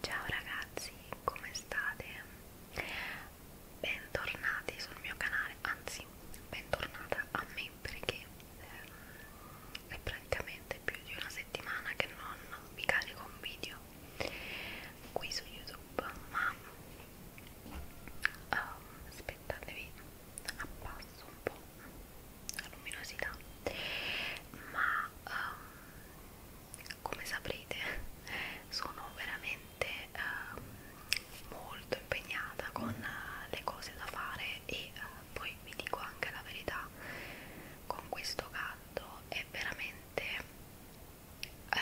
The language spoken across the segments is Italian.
Ciao ragazzi, come state? Bentornati sul mio canale, anzi, bentornata a me perché ehm, è praticamente più di una settimana che non vi carico un video qui su YouTube, ma um, aspettatevi, abbasso un po' la luminosità, ma um, come saprete sono veramente eh, molto impegnata con eh, le cose da fare e eh, poi vi dico anche la verità con questo gatto è veramente eh,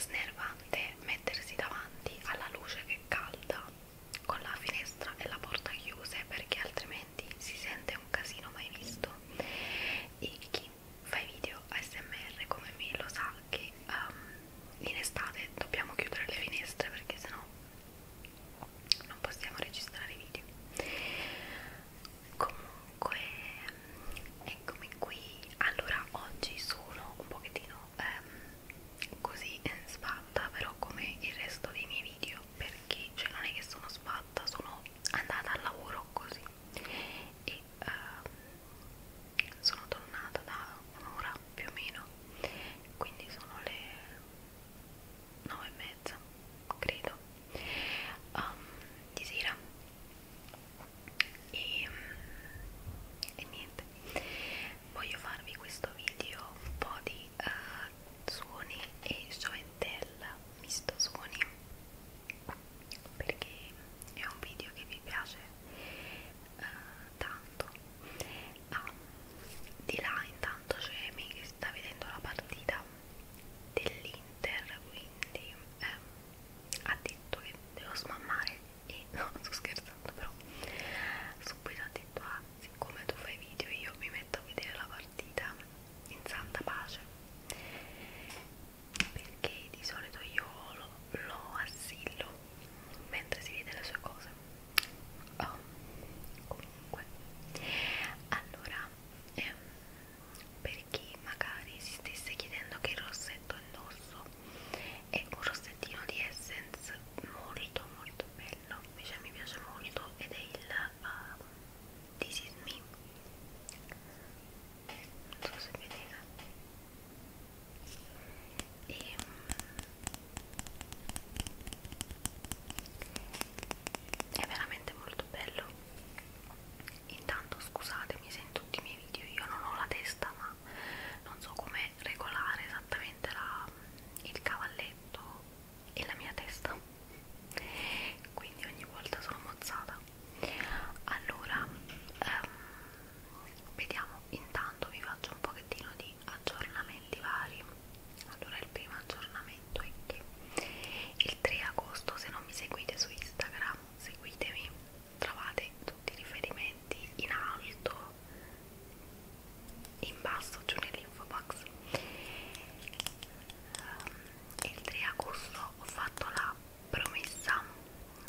snervante mettersi davanti alla luce che calda con la finestra e la porta chiuse perché altrimenti commenti si sente un casino mai visto e chi fa i video ASMR come me lo sa che um, in estate dobbiamo chiudere le finestre perché sennò non possiamo registrare video comunque eccomi qui allora oggi sono un pochettino ehm, così eh, sbatta però come il resto dei miei video perché cioè non è che sono sbatta sono andata al lavoro così e uh, sono tornata da un'ora più o meno quindi sono le 9 e mezza credo um, di sera e, e niente voglio farvi questo video un po' di uh, suoni e show and tell misto suoni perché è un video che mi piace eh, tanto ah, di là intanto c'è me che sta vedendo la partita dell'Inter quindi eh, ha detto che devo smammare e no sto scherzando però subito ha detto ah siccome tu fai video io mi metto a vedere la partita partita in santa pace perché di solito io lo, lo assillo mentre si vede le sue cose oh, comunque allora ehm, per chi magari si stesse chiedendo che rossetto indosso è un rossettino di Essence molto molto bello invece mi piace molto ed è il ma this is me non so se vedete e ehm, è veramente molto bello intanto scusatemi se in tutti i miei video io non ho la testa ma non so come regolare esattamente la, il cavalletto e la mia testa quindi ogni volta sono mozzata allora ehm, vediamo intanto vi faccio un pochettino di aggiornamenti vari allora il primo aggiornamento è che il 3 agosto se non mi seguite su Instagram seguitemi trovate tutti i riferimenti in alto in basso giù nell'info box um, il 3 agosto ho fatto la promessa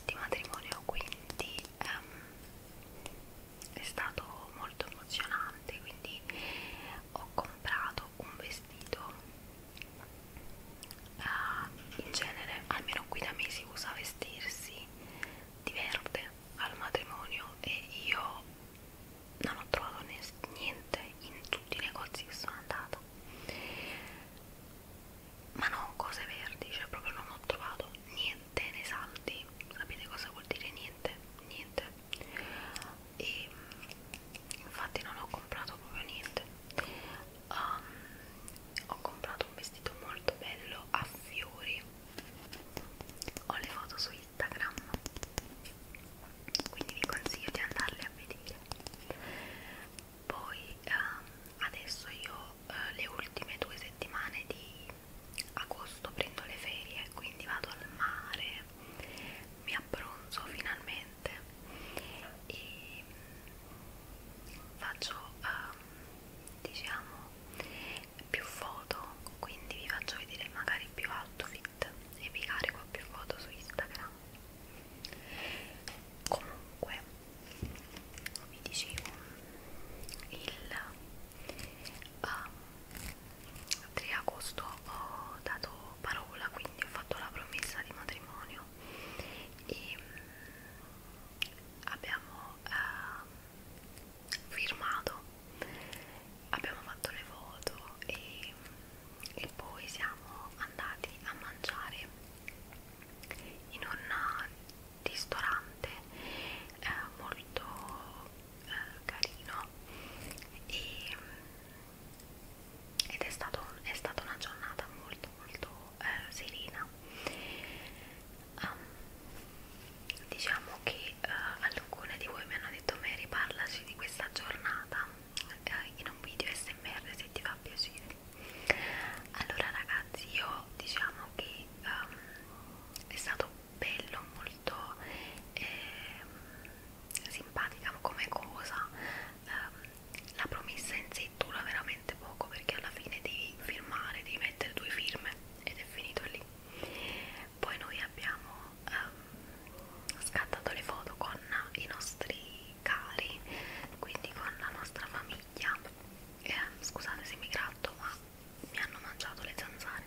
di matrimonio quindi ehm, è stato molto emozionante quindi ho comprato un vestito eh, in genere almeno qui da me si usa vestirsi di verde al matrimonio e io non ho trovato niente in tutti i negozi che sono andata ma non cose verdi, cioè proprio non ho trovato niente nei saldi sapete cosa vuol dire niente? niente e infatti non ho comprato proprio niente um, ho comprato un vestito molto bello a fiori ho le foto su Instagram quindi vi consiglio di andarle a vedere poi ehm, adesso io eh, le ultime due settimane di agosto prendo le ferie quindi vado al mare mi abbronzo finalmente e mm, faccio ehm, diciamo più foto quindi vi faccio vedere magari più outfit e vi carico più foto su Instagram comunque come vi dicevo il uh, ehm, 3 agosto ho dato parola quindi ho fatto la promessa di matrimonio e um, abbiamo uh, firmato abbiamo fatto le foto e um, e poi siamo andati a mangiare in un eh, ristorante eh, molto eh, carino e, mm, ed è, stato, è stata una giornata molto molto eh, serena um, diciamo che eh, alcune di voi mi hanno detto Mary parlaci di questa giornata eh, in un video smr se ti fa piacere allora ragazzi io diciamo che um, è stato bello molto eh, simpatica come cosa um, la promessa in sé dura veramente poco perché alla fine devi firmare devi mettere due firme ed è finito lì poi noi abbiamo um, scattato le foto con i nostri cari, quindi con la nostra famiglia. Eh, scusate se mi gratto, ma mi hanno mangiato le zanzare.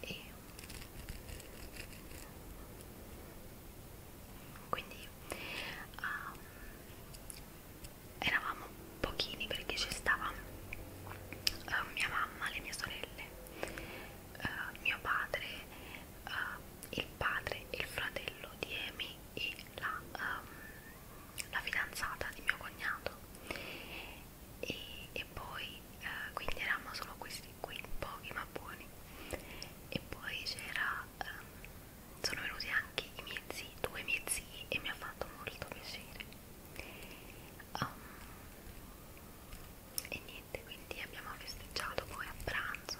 E quindi um, eravamo pochini perché ci stava uh, mia mamma, le mie sorelle uh, mio padre, uh, il padre, il fratello di Amy e la, um, la fidanzata di mio cognato e, e poi uh, quindi eravamo solo questi qui, pochi ma buoni e poi c'era um, sono venuti anche i miei zii, due miei zii e mi ha fatto molto piacere um, e niente niente quindi abbiamo festeggiato poi a pranzo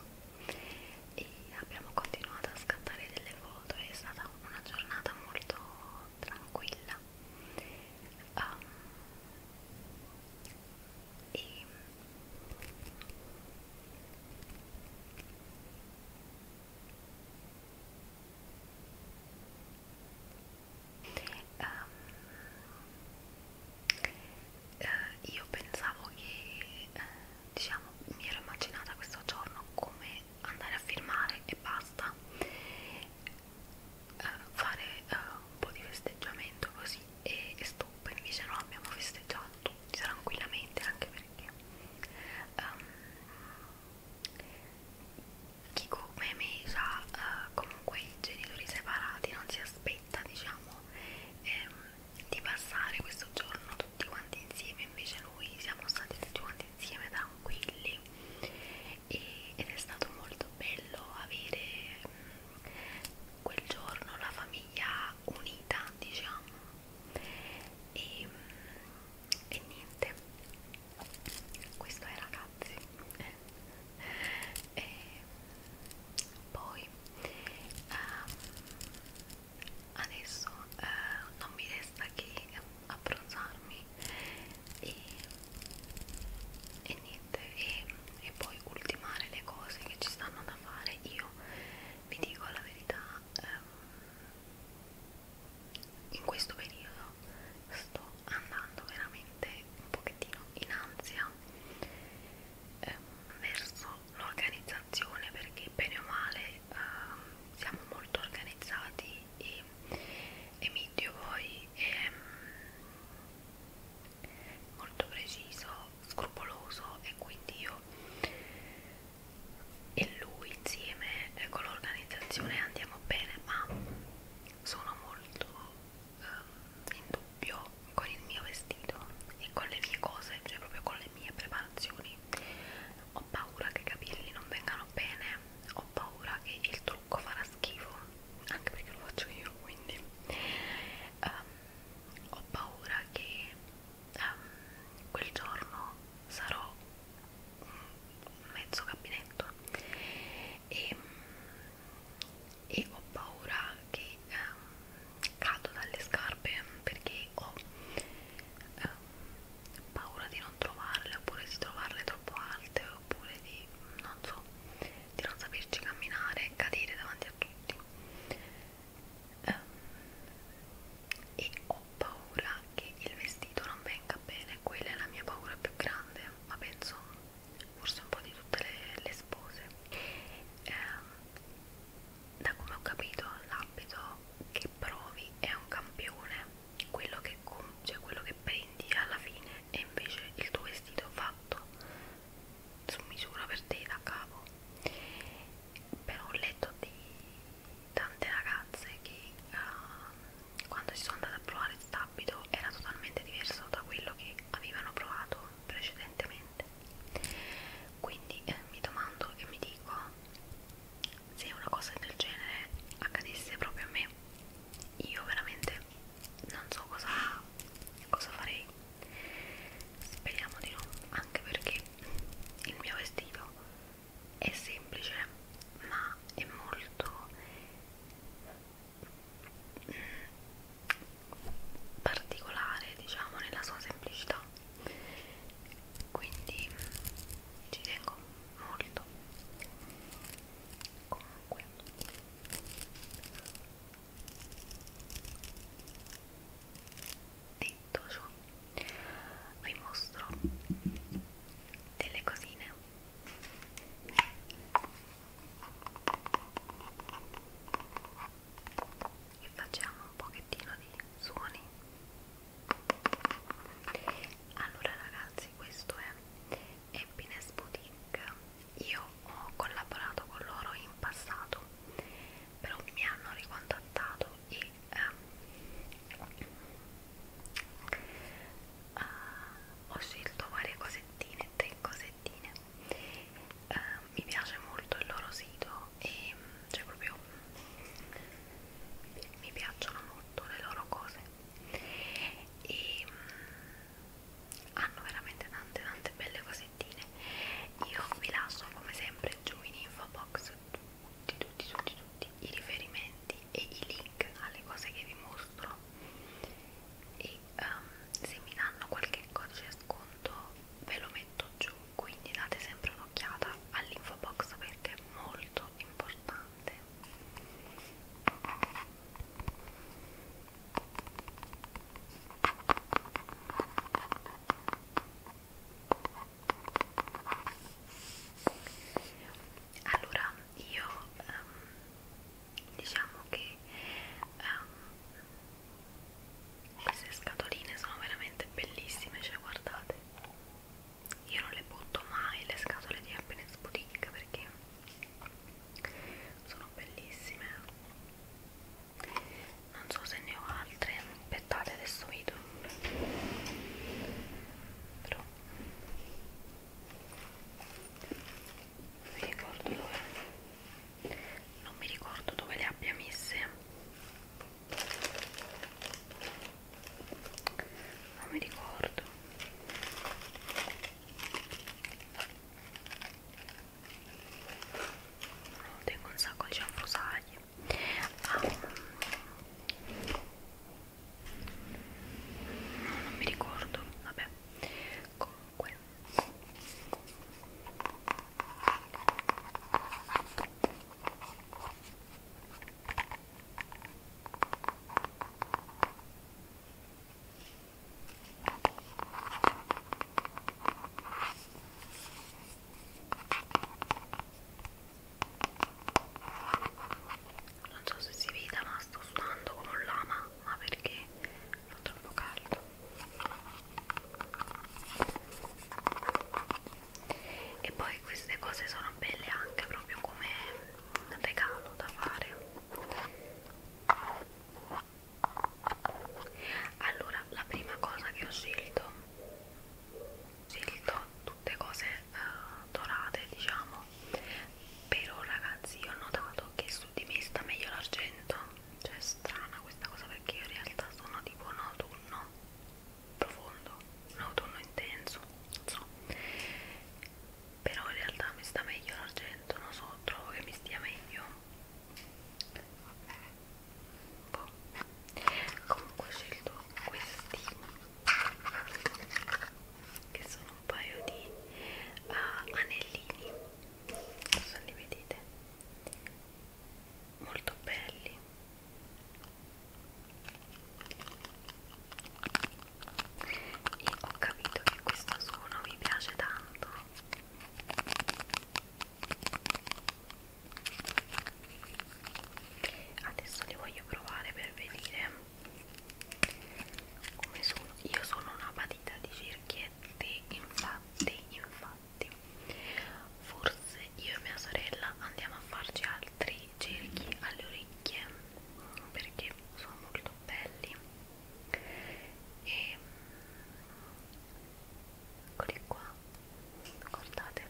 e abbiamo continuato a scattare delle foto è stata una giornata molto tranquilla um, e Um, eh, io pensavo che eh, diciamo mi ero immaginata questo giorno come andare a firmare e basta eh, fare eh, un po' di festeggiamento così e, e stop invece no abbiamo festeggiato tranquillamente anche perché um, chi come me sa eh, comunque i genitori separati non si aspetta diciamo ehm, di passare questo giorno tutti quanti insieme invece noi siamo stati tutti quanti insieme tranquilli e, ed è stato molto bello avere mh, mm, quel giorno la famiglia unita diciamo e, mh, mm, e niente questo è ragazzi e poi um, adesso uh, non mi resta che abbronzarmi e, e niente e, e poi ultimare le cose che ci stanno da fare io vi dico la verità um, in questo periodo sto andando veramente un pochettino in ansia ehm, verso l'organizzazione perché bene o male ehm, siamo molto organizzati e Emidio poi è ehm, molto preciso, scrupoloso e quindi io e lui insieme eh, con l'organizzazione andiamo bene ma sono molto um, in dubbio con il mio vestito e con le mie cose, cioè proprio con le mie preparazioni. Ho paura che i capelli non vengano bene, ho paura che il trucco farà schifo, anche perché lo faccio io quindi. Um, ho paura che um, quel giorno sarò mezzo gabinetto e, e ho paura che um, cado dalle scarpe perché ho um, paura di non trovarle oppure di trovarle troppo alte oppure di non so di non saperci camminare e cadere davanti a tutti um, e ho paura che il vestito non venga bene quella è la mia paura più grande ma penso forse un po' di tutte le, le spose eh, da come ho capito l'abito che provi è un campione quello che, cioè quello che prendi alla fine e invece il tuo vestito fatto su misura per te da capo però ho letto di tante ragazze che uh, quando si sono andate a provare quest'abito era totalmente diverso da quello che avevano provato precedentemente quindi eh, mi domando e mi dico se una cosa del genere accadesse proprio a me io veramente non so cosa, cosa farei speriamo di no anche perché il mio vestito è semplice ma è molto particolare diciamo nella sua semplicità quindi ci tengo molto comunque detto ciò vi mostro delle cosine e facciamo un pochettino di suoni allora ragazzi questo è Happiness Boutique io ho collaborato con loro in passato però mi hanno ricontattato e ehm, eh, ho scelto varie cosettine tre cosettine eh, mi piace molto il loro sito e cioè proprio mi piacciono molto le loro cose e hanno veramente tante tante belle cosettine io vi lascio come sempre giù in info box tutti tutti tutti tutti i riferimenti e i link alle cose che vi mostro e poi um, ehm, se mi danno qualche codice sconto ve lo metto giù quindi date sempre un'occhiata all'info box perché è molto importante allora io um, diciamo che um, queste scatoline sono veramente bellissime cioè guardate io non le butto mai le scatole di happiness boutique perché sono bellissime non so se ne ho altre aspettate adesso vedo però non mi ricordo dove non mi ricordo dove le abbia messe non mi ricordo tengo un sacco di cianfrusaglie ah, no, non mi ricordo vabbè comunque non so se si veda ma sto suonando come un lama, ma perché non troppo caldo e poi queste cose sono belle anche proprio come regalo da fare allora la prima cosa che ho scelto ho scelto tutte cose uh, dorate diciamo però ragazzi io ho notato che su di me sta meglio l'argento cioè è strana questa cosa perché io in realtà sono tipo un autunno profondo, un autunno intenso, non so però in realtà mi sta meglio l'argento, non so, trovo che mi stia meglio boh. comunque ho scelto questi che sono un paio di uh, anellini se li vedete molto belli e ho capito che questo suono mi piace tanto adesso li voglio provare per vedere come sono io sono una patita di cerchie spaghetti infatti infatti forse io e mia sorella andiamo a farci altri cerchi alle orecchie perché sono molto belli e mm, eccoli qua guardate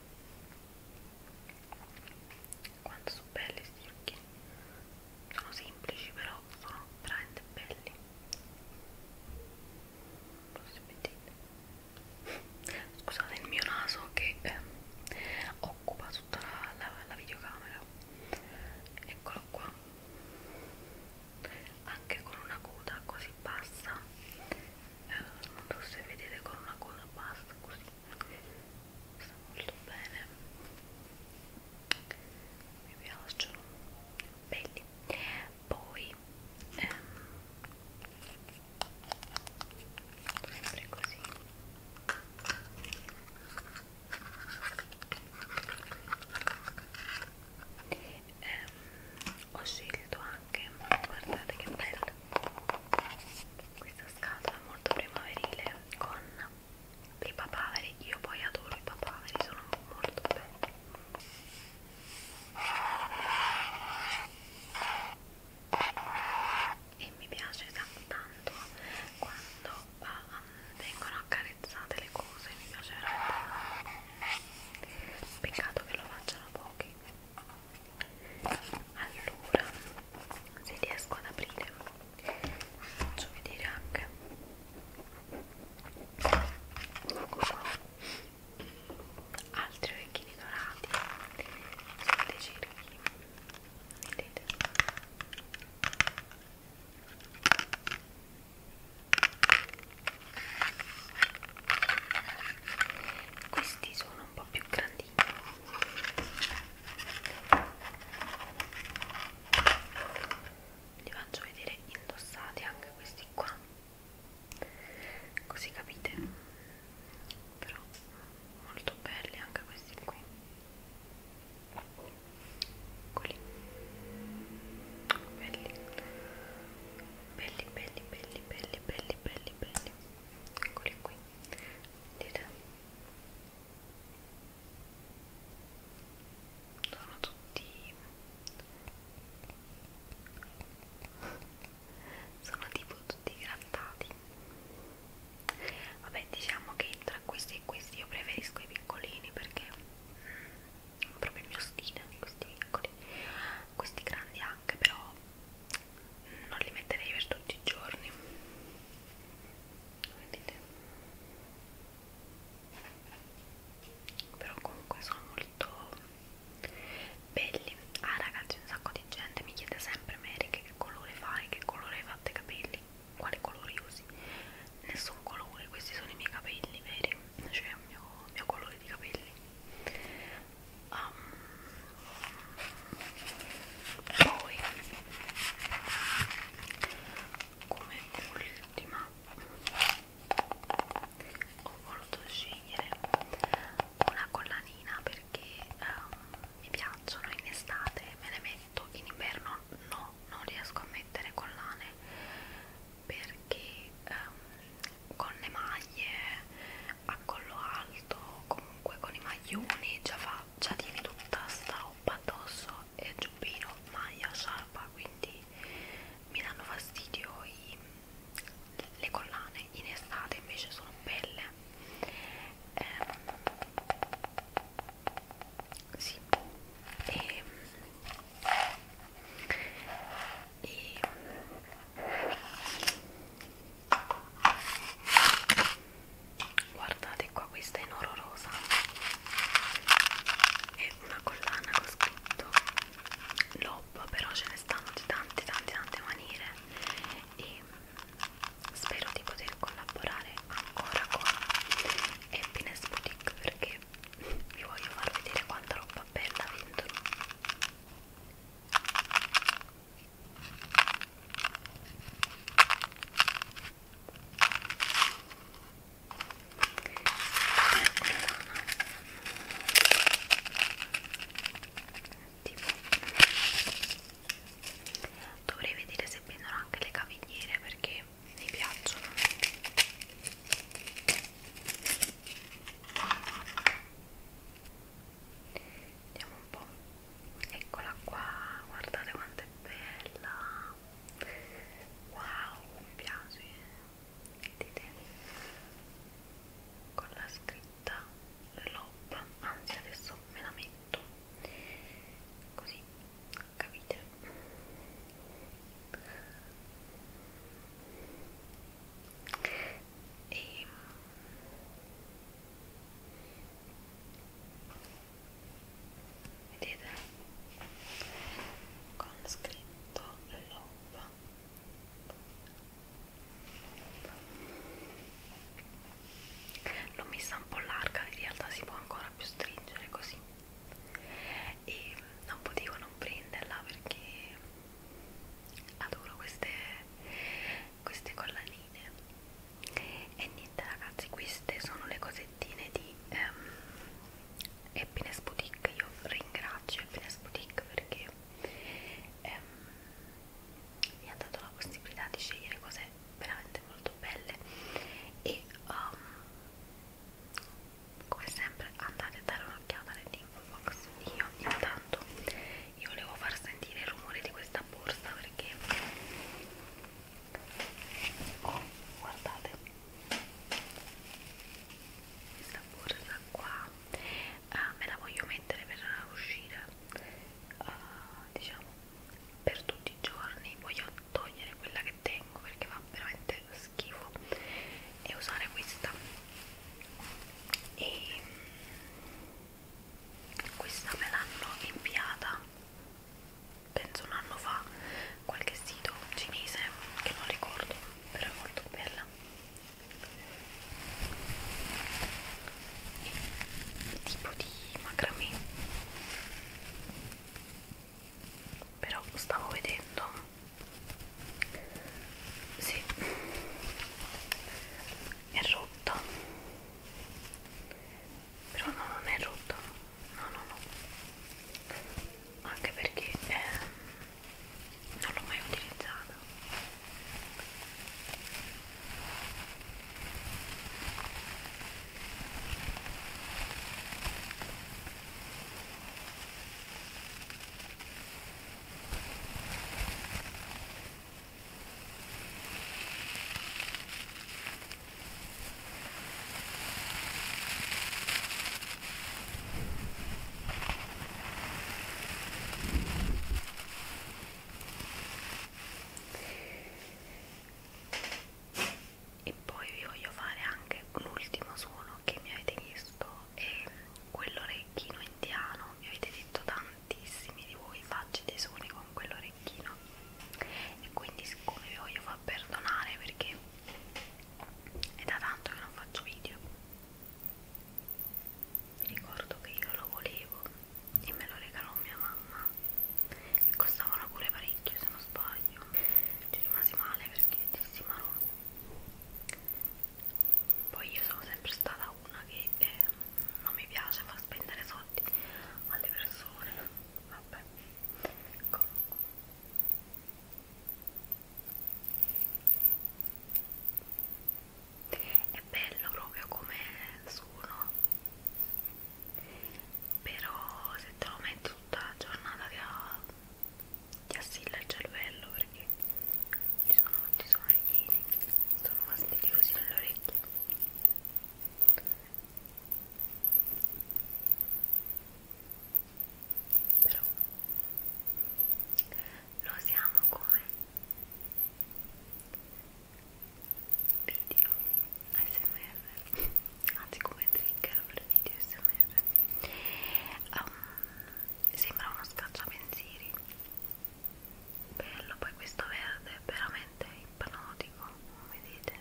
quanto sono belli questi occhi sono semplici però sono veramente belli Forse vedete scusate il mio naso che eh, occupa tutta la, la, la videocamera eccolo qua anche con una coda così bassa eh, non so se vedete con una coda bassa così sta molto bene mi piacciono belli poi ehm, sempre così ehm, ho scelto anche guardate che bello questa scatola molto primaverile con i papaveri, io poi adoro i papaveri, sono molto belli e mi piace tanto quando uh, vengono accarezzate le cose, mi piace veramente peccato che lo facciano pochi allora se riesco ad aprire faccio vedere anche altri orecchini dorati sono dei cerchi vedete questi sono un po' più grandini vi faccio vedere indossati anche questi qua così capite però molto belli anche questi qui Eccoli. belli belli belli belli belli belli belli belli eccoli qui vedete sono tutti sono tipo tutti grattati vabbè diciamo che tra questi e questi io preferisco i piccolini perché è mm, proprio il mio stile questi piccoli questi grandi anche però mm, non li metterei per tutti i giorni vedete però comunque sono molto belli ah ragazzi un sacco di gente mi chiede sempre Mary che colore fai che colore hai fatto i capelli quale colore usi nessun colore questi sono i miei capelli veri cioè il mio, il mio colore di capelli um, poi come ultima ho voluto scegliere una collanina perché um, mi piacciono in estate me le metto in inverno no non riesco a mettere collane perché um, con le maglie a collo alto comunque con i maglioni già fa già tieni tutta sta roba addosso e giubbino, maglia, sciarpa, quindi mi danno fastidio i, le collane, in estate invece sono belle. Eh, sì, e, ehm, e, guardate qua, questa è in oro rosa è una collana con scritto Lob, però ce ne stanno di tante tante tante maniere e spero di poter collaborare ancora con Happiness Boutique perché vi voglio far vedere quanta roba bella vendono tipo dovrei vedere se vendono anche le cavigliere perché mi piacciono vediamo un po' eccola qua guardate quanto è bella wow mi piace eh. vedete con la scritta l'op anzi adesso me la metto così capite e ehm vedete con scritto love l'ho messa un po' larga in realtà si può ancora più stringere così e non potevo non prenderla perché adoro queste queste collanine e niente ragazzi queste sono le cosettine di ehm, Happiness Boutique io ringrazio Happiness Boutique perché ehm, mi ha dato la possibilità di scegliere cose veramente molto belle e um, come sempre andate a dare un'occhiata nell'info box io intanto io volevo far sentire il rumore di questa borsa perché oh, guardate questa borsa qua uh, me la voglio mettere per uscire uh, diciamo per tutti i giorni voglio togliere quella che tengo perché va veramente schifo e usare questa e mm, questa me l'hanno inviata penso un anno fa qualche sito cinese che non ricordo però è molto bella e tipo di macramè però stavo vedendo sì è rotta però no, non è rotto no no no anche perché eh, non l'ho mai utilizzato e poi vi voglio fare anche l'ultimo suono che mi avete chiesto è quell'orecchino indiano mi avete detto tantissimi di voi facci dei suoni con quell'orecchino e quindi siccome vi voglio far perdonare perché è da tanto che non faccio video mi ricordo che io lo volevo e me lo regalò mia mamma e costavano pure parecchio se non sbaglio ci rimasi male perché dissi ma no poi io sono sempre stata una che eh, non mi piace far spendere soldi alle persone vabbè comunque è bello proprio come suono, però se te lo metto tutta la giornata ti assilla il cervello perché ci sono molti sonagliini, sono fastidiosi nelle orecchie però lo usiamo come video smr anzi come trigger per video smr um, ehm, sembra uno scacciapensieri bello poi questo verde è veramente ipnotico come vedete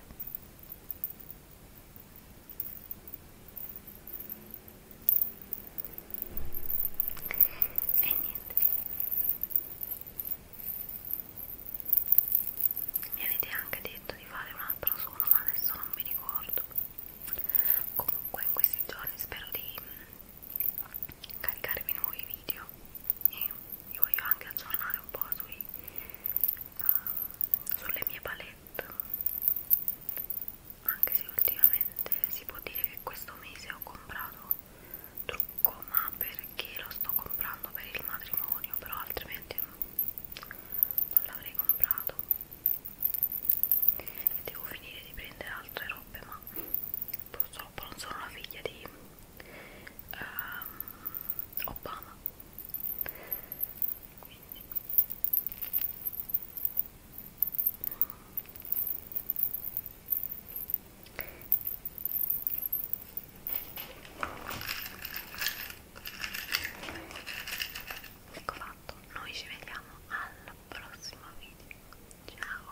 e niente mi avete anche detto di fare un altro suono ma adesso non mi ricordo comunque in questi giorni spero di mm, caricarvi nuovi video e vi voglio anche aggiornare un po' sui sulle mie palette anche se ultimamente si può dire che questo mese ho comprato trucco ma perché lo sto comprando per il matrimonio però altrimenti non l'avrei comprato e devo finire di prendere altre robe ma purtroppo non sono la figlia di um, Obama Ecco fatto, noi ci vediamo al prossimo video. Ciao!